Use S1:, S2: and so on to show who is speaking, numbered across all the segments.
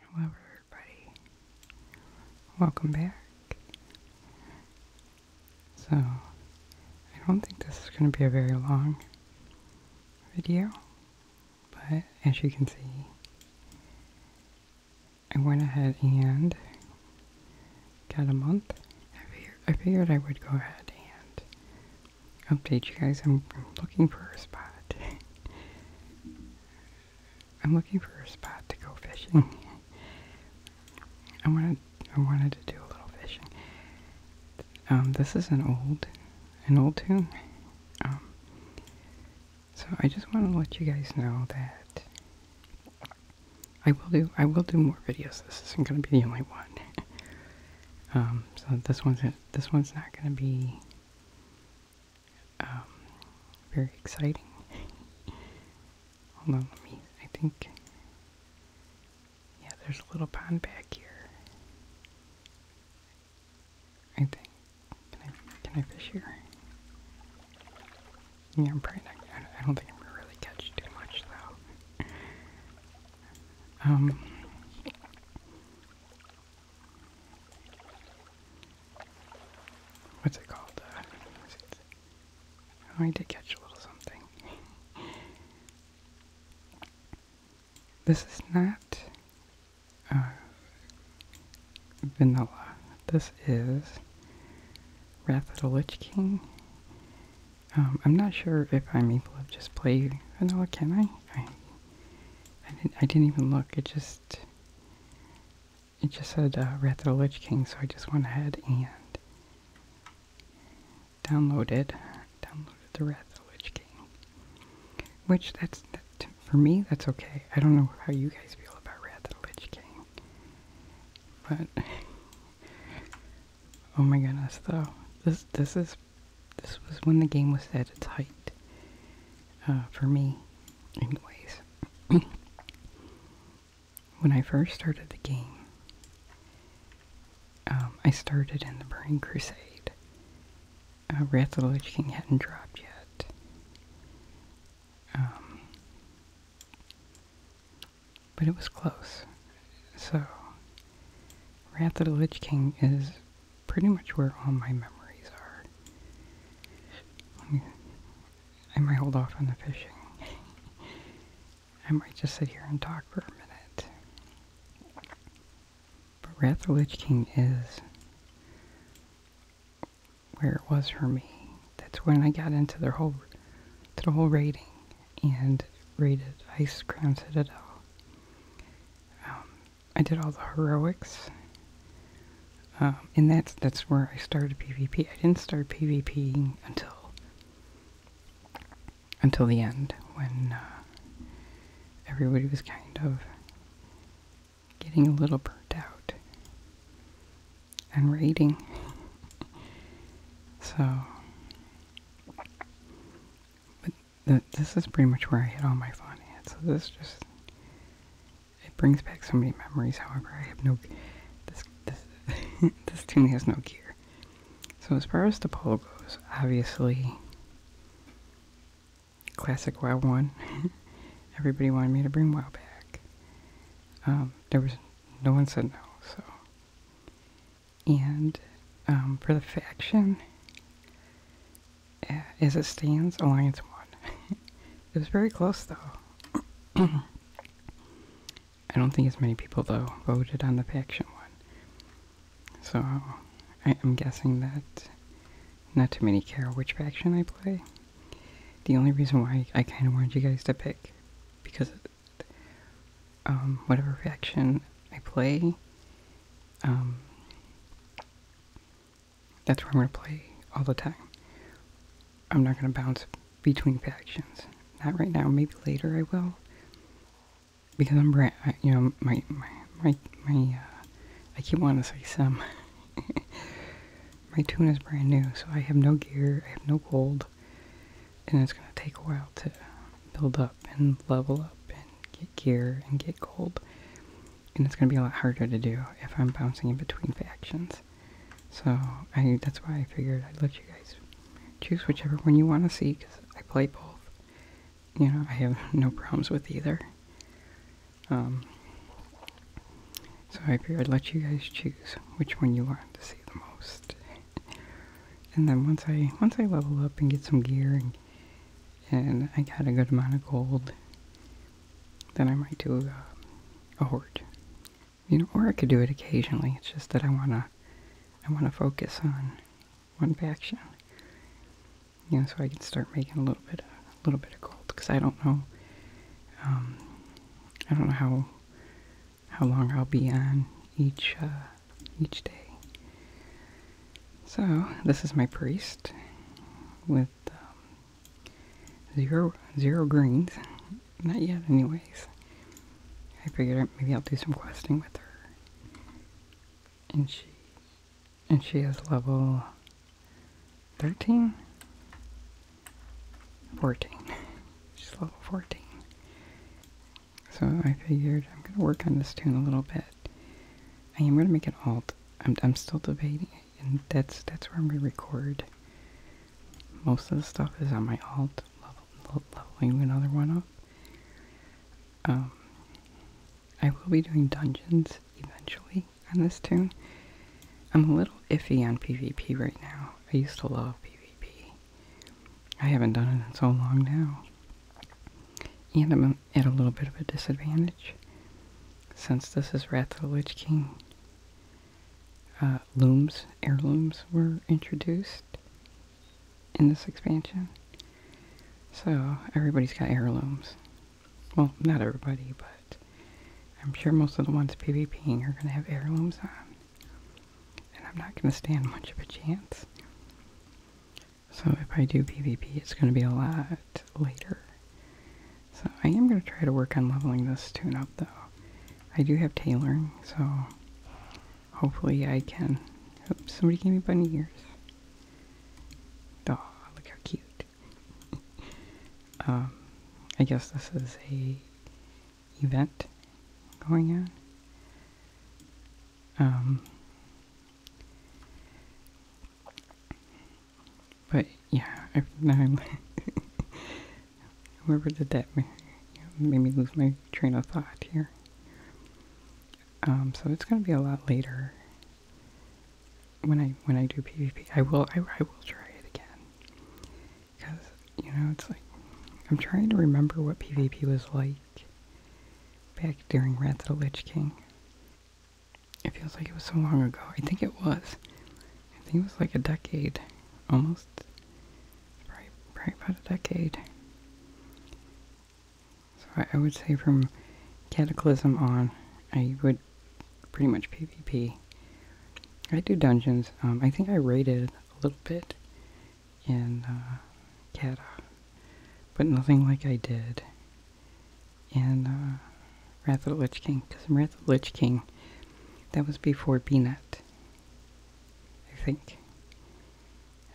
S1: Hello, everybody. Welcome back. So, I don't think this is going to be a very long video, but as you can see, I went ahead and got a month. I, I figured I would go ahead and update you guys. I'm, looking for a spot. I'm looking for a spot to go fishing. I wanted I wanted to do a little fishing. Um, this is an old an old tune. Um, so I just want to let you guys know that I will do I will do more videos. This isn't going to be the only one. Um, so this one's this one's not going to be um, very exciting. Hold on, let me, I think, yeah, there's a little pond back here. I can I, can I fish here? Yeah, I'm probably I don't think I'm gonna really catch too much though. Um, What's it called? Uh, it? Oh, I did catch a little something. this is not uh, vanilla. This is Wrath of the Lich King. Um, I'm not sure if I'm able to just play vanilla, can I I didn't, I didn't even look. It just it just said uh, the Lich King, so I just went ahead and downloaded downloaded the Wrath the Lich King. Which that's that, for me. That's okay. I don't know how you guys feel about Wrath the Lich King, but oh my goodness, though this this is this was when the game was at its height uh, for me, anyways. when I first started the game, um, I started in the Burning Crusade. Uh, Wrath of the Lich King hadn't dropped yet. Um, but it was close. So, Wrath of the Lich King is pretty much where all my memories are. I might hold off on the fishing. I might just sit here and talk for a minute. But Wrath the Lich King is where it was for me. That's when I got into their whole the whole raiding and raided Ice Crown Citadel. Um, I did all the heroics, um, and that's that's where I started PvP. I didn't start PvP until until the end when uh, everybody was kind of getting a little burnt out and raiding. so, th this is pretty much where I hit all my fun at. So this just it brings back so many memories. However, I have no this this this tune has no gear. So as far as the pole goes, obviously classic WoW one. Everybody wanted me to bring WoW back. Um, there was no one said no, so and um, for the faction eh, as it stands alliance one. it was very close though i don't think as many people though voted on the faction one so i'm guessing that not too many care which faction i play the only reason why i kind of wanted you guys to pick because um, whatever faction I play. Um, that's where I'm going to play all the time. I'm not going to bounce between factions. Not right now. Maybe later I will. Because I'm brand, you know, my, my, my, uh, I keep wanting to say some. my tune is brand new, so I have no gear, I have no gold and it's going to take a while to build up and level up and get gear and get gold. And it's going to be a lot harder to do if I'm bouncing in between factions. So I that's why I figured I'd let you guys choose whichever one you want to see because I play both. You know, I have no problems with either. Um, so I figured I'd let you guys choose which one you want to see the most and then once I once I level up and get some gear and, I got a good amount of gold, then I might do a, a horde. You know, or I could do it occasionally. It's just that I wanna I wanna focus on one faction. You know, so I can start making a little bit of, a little bit of gold because I don't know um, I don't know how how long I'll be on each uh, each day. So this is my priest with um, zero zero greens, not yet, anyways. I figured maybe I'll do some questing with her, and she and she is level thirteen. 14. She's level 14. So I figured I'm going to work on this tune a little bit. I am going to make it alt. I'm, I'm still debating it, and that's, that's where I'm going to record. Most of the stuff is on my alt, level, leveling another one up. Um, I will be doing dungeons eventually on this tune. I'm a little iffy on PvP right now. I used to love PvP. I haven't done it in so long now. And I'm at a little bit of a disadvantage since this is Wrath of the Lich King. Uh, looms, heirlooms were introduced in this expansion. So everybody's got heirlooms. Well, not everybody, but I'm sure most of the ones PvPing are going to have heirlooms on and I'm not going to stand much of a chance. So if I do PvP, it's going to be a lot later. So I am going to try to work on leveling this tune up though. I do have tailoring, so hopefully I can. Oops, somebody gave me bunny ears. Oh, look how cute. um, I guess this is a event going on. Um, but yeah, I, now I'm whoever did that made me lose my train of thought here. Um, so it's gonna be a lot later when I when I do PvP. I will I, I will try it again. Because, you know, it's like, I'm trying to remember what PvP was like back during Wrath of the Lich King. It feels like it was so long ago. I think it was. I think it was like a decade. Almost. Right, probably about a decade. So I, would say from Cataclysm on, I would pretty much PvP. I do dungeons. Um, I think I raided a little bit in uh, but nothing like I did in uh, Wrath of the Lich King, because in Wrath of the Lich King, that was before BNet, I think.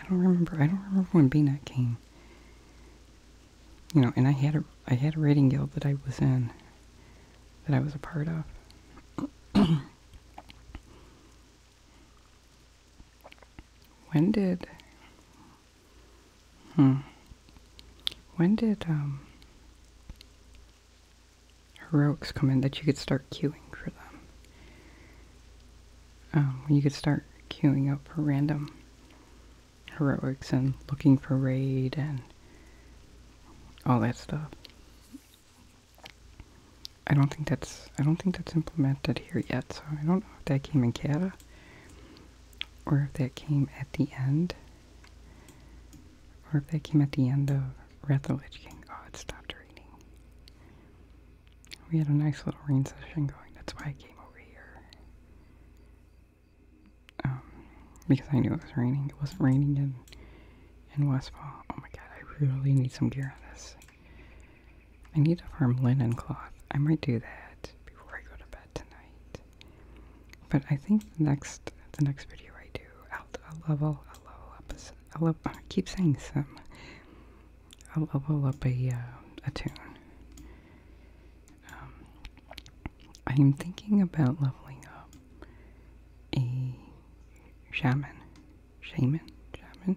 S1: I don't remember. I don't remember when BNet came. You know, and I had a I had a rating guild that I was in, that I was a part of. When did hmm, when did um heroics come in that you could start queuing for them? Um, you could start queuing up for random heroics and looking for raid and all that stuff. I don't think that's I don't think that's implemented here yet, so I don't know if that came in Canada or if that came at the end. Or if that came at the end of Wrath of Lich King. Oh, it stopped raining. We had a nice little rain session going, that's why I came over here. Um, because I knew it was raining. It wasn't raining yet in Westfall. Oh my god, I really need some gear on this. I need to farm linen cloth. I might do that before I go to bed tonight. But I think the next the next video I do, I'll, level I'll level up a, I'll keep saying some. I'll level up a uh, a tune. I am um, thinking about leveling up a shaman, shaman, shaman,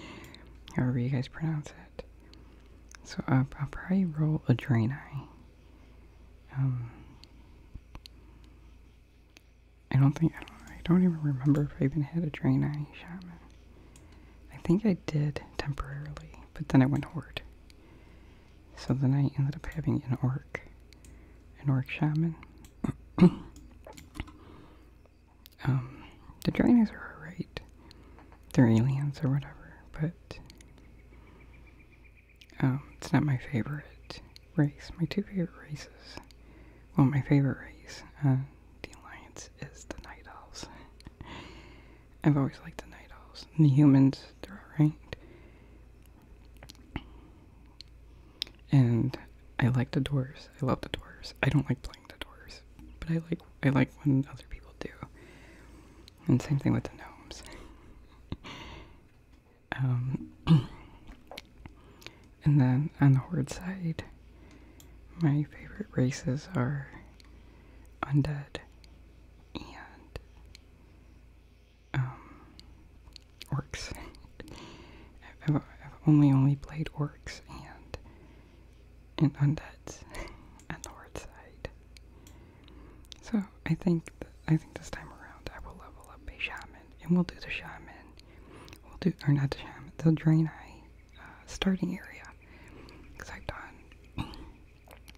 S1: however you guys pronounce it. So uh, I'll, probably roll a drain eye. Um, I don't think I don't, even remember if I even had a drain eye shaman. I think I did temporarily, but then it went horde. So then I ended up having an orc, an orc shaman. Um, the drainers are alright. They're aliens or whatever, but um, it's not my favorite race. My two favorite races, well, my favorite race, uh, the Alliance, is the Night Owls. I've always liked the Night Owls. And the humans, they're alright. And I like the Doors. I love the Doors. I don't like playing the Doors, but I like I like when other people do. And same thing with the gnomes. um, and then on the horde side, my favorite races are undead and um, orcs. I've, only only played orcs and and undeads on the hard side. So I think I think this time around I will level up a shaman and we'll do the shaman. We'll do or not the shaman, the drain eye uh, starting area because I've done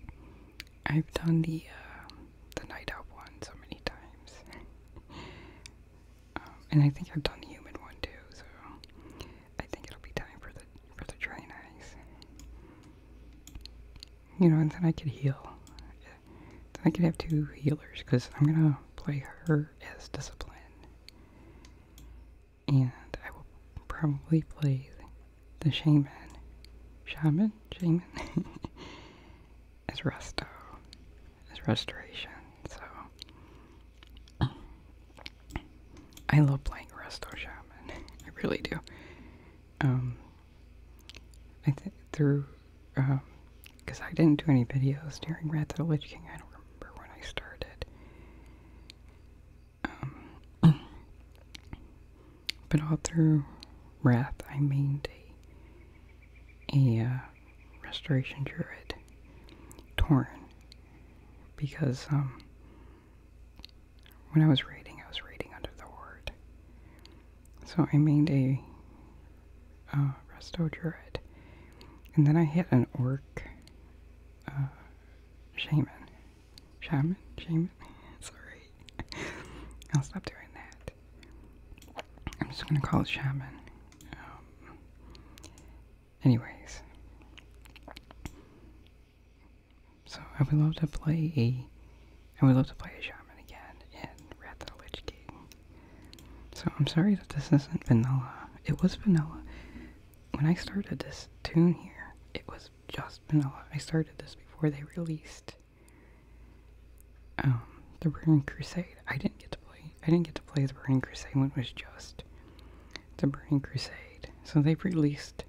S1: I've done the uh, the Night Owl one so many times. Um, and I think I've done human one too, so I think it'll be time for the for the train eyes. You know, and then I could heal. Then I could have two healers because I'm gonna play her as discipline, and I will probably play the shaman, shaman, shaman, is resto, is restoration. So I love playing resto shaman. I really do. Um, I think through, um, because I didn't do any videos during Wrath of the Lich King. I don't remember when I started. Um, but all through wrath, I made a, a uh, restoration druid, Torn, because um, when I was raiding, I was raiding under the ward, So I made a uh, resto druid, and then I hit an orc uh, shaman shaman, shaman. sorry. I'll stop doing that. I'm just gonna call it shaman. Um, anyways, so I would love to play a. I would love to play a shaman again in Red the Witch King. So I'm sorry that this isn't vanilla. It was vanilla. When I started this tune here, it was just vanilla. I started this before they released um, the Burning Crusade. I didn't get to play. I didn't get to play the Burning Crusade when it was just the Burning Crusade. So they've released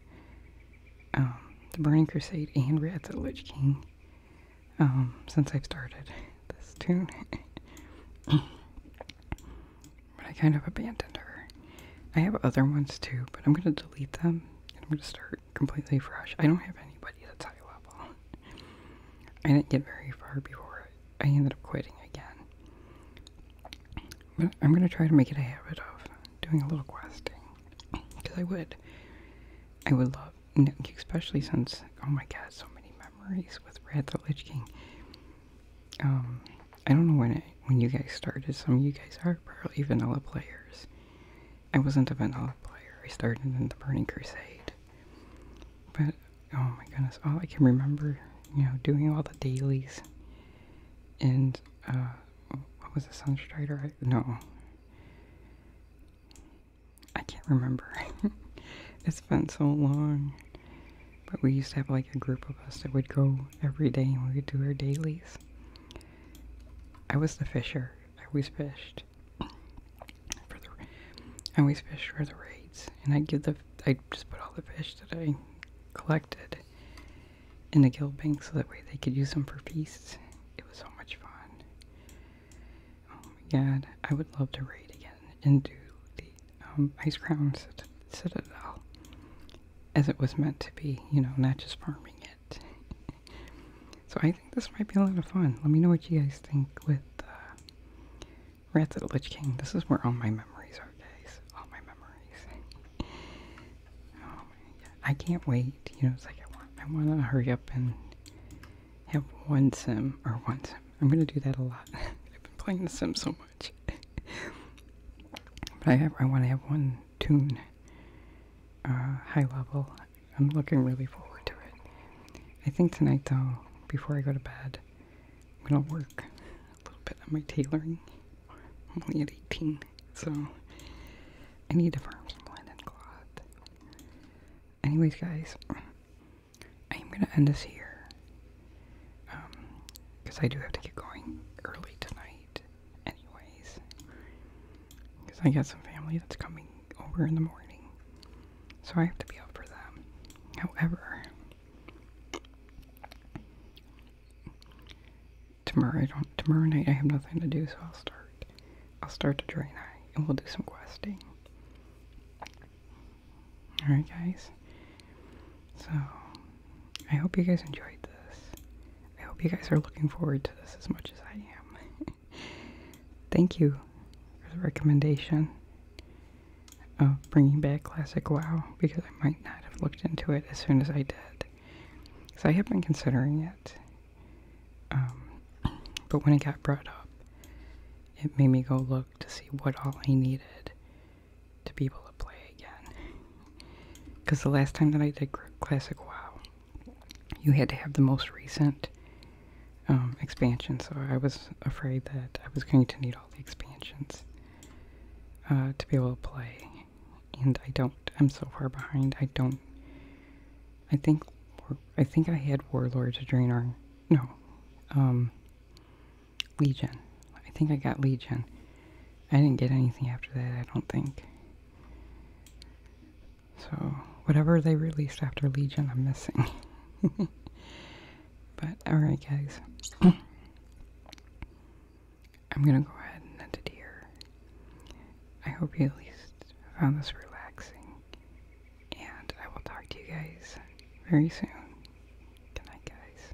S1: um, the Burning Crusade and Rats at Lich King um, since I've started this tune. but I kind of abandoned her. I have other ones too, but I'm gonna delete them I'm gonna start completely fresh. I don't have anybody that's high level. I didn't get very far before I ended up quitting again. But I'm gonna try to make it a habit of doing a little questing. Because I would. I would love, especially since, oh my god, so many memories with Red the Lich King. Um, I don't know when it, when you guys started. Some of you guys are probably vanilla players. I wasn't a Valhalla player. I started in the Burning Crusade. But oh my goodness, all I can remember, you know, doing all the dailies and uh what was a Sunstrider? I, no. I can't remember. it's been so long. But we used to have like a group of us that would go every day and we would do our dailies. I was the fisher. I always fished for the. I always fished for the raids, and I give the. I just put all the fish that I collected in the guild bank, so that way they could use them for feasts. It was so much fun. Oh my god, I would love to raid again and do the um, ice crown citadel as it was meant to be. You know, not just farming it so I think this might be a lot of fun. Let me know what you guys think with uh, Rats at the Lich King. This is where all my memories are, guys. All my memories. oh, yeah. I can't wait. You know, it's like I want, I want to hurry up and have one sim or one sim. I'm gonna do that a lot. I've been playing the sim so much. but I have, I want to have one tune uh, high level. I'm looking really forward to it. I think tonight, though, before I go to bed, I'm gonna work a little bit on my tailoring. I'm only at 18, so I need to farm some linen cloth. Anyways, guys, I am gonna end this here because um, I do have to get going early tonight anyways. Because I got some family that's coming over in the morning. So I have to be up for them. However, tomorrow I don't tomorrow night I have nothing to do, so I'll start. I'll start the drain eye and we'll do some questing. Alright guys. So, I hope you guys enjoyed this. I hope you guys are looking forward to this as much as I am. Thank you for the recommendation of bringing back Classic WoW because I might not have looked into it as soon as I did. Because I have been considering it. Um, but when it got brought up, it made me go look to see what all I needed to be able to play again. Because the last time that I did Classic WoW, you had to have the most recent um, expansion, so I was afraid that I was going to need all the expansions uh, to be able to play. And I don't, I'm so far behind, I don't, I think, I think I had Warlords of Draenor, no, um, Legion. I think I got Legion. I didn't get anything after that, I don't think. So, whatever they released after Legion, I'm missing. but, alright, guys. I'm gonna go ahead and end it here. I hope you at least found this relaxing. And I will talk to you guys very soon. Good night, guys.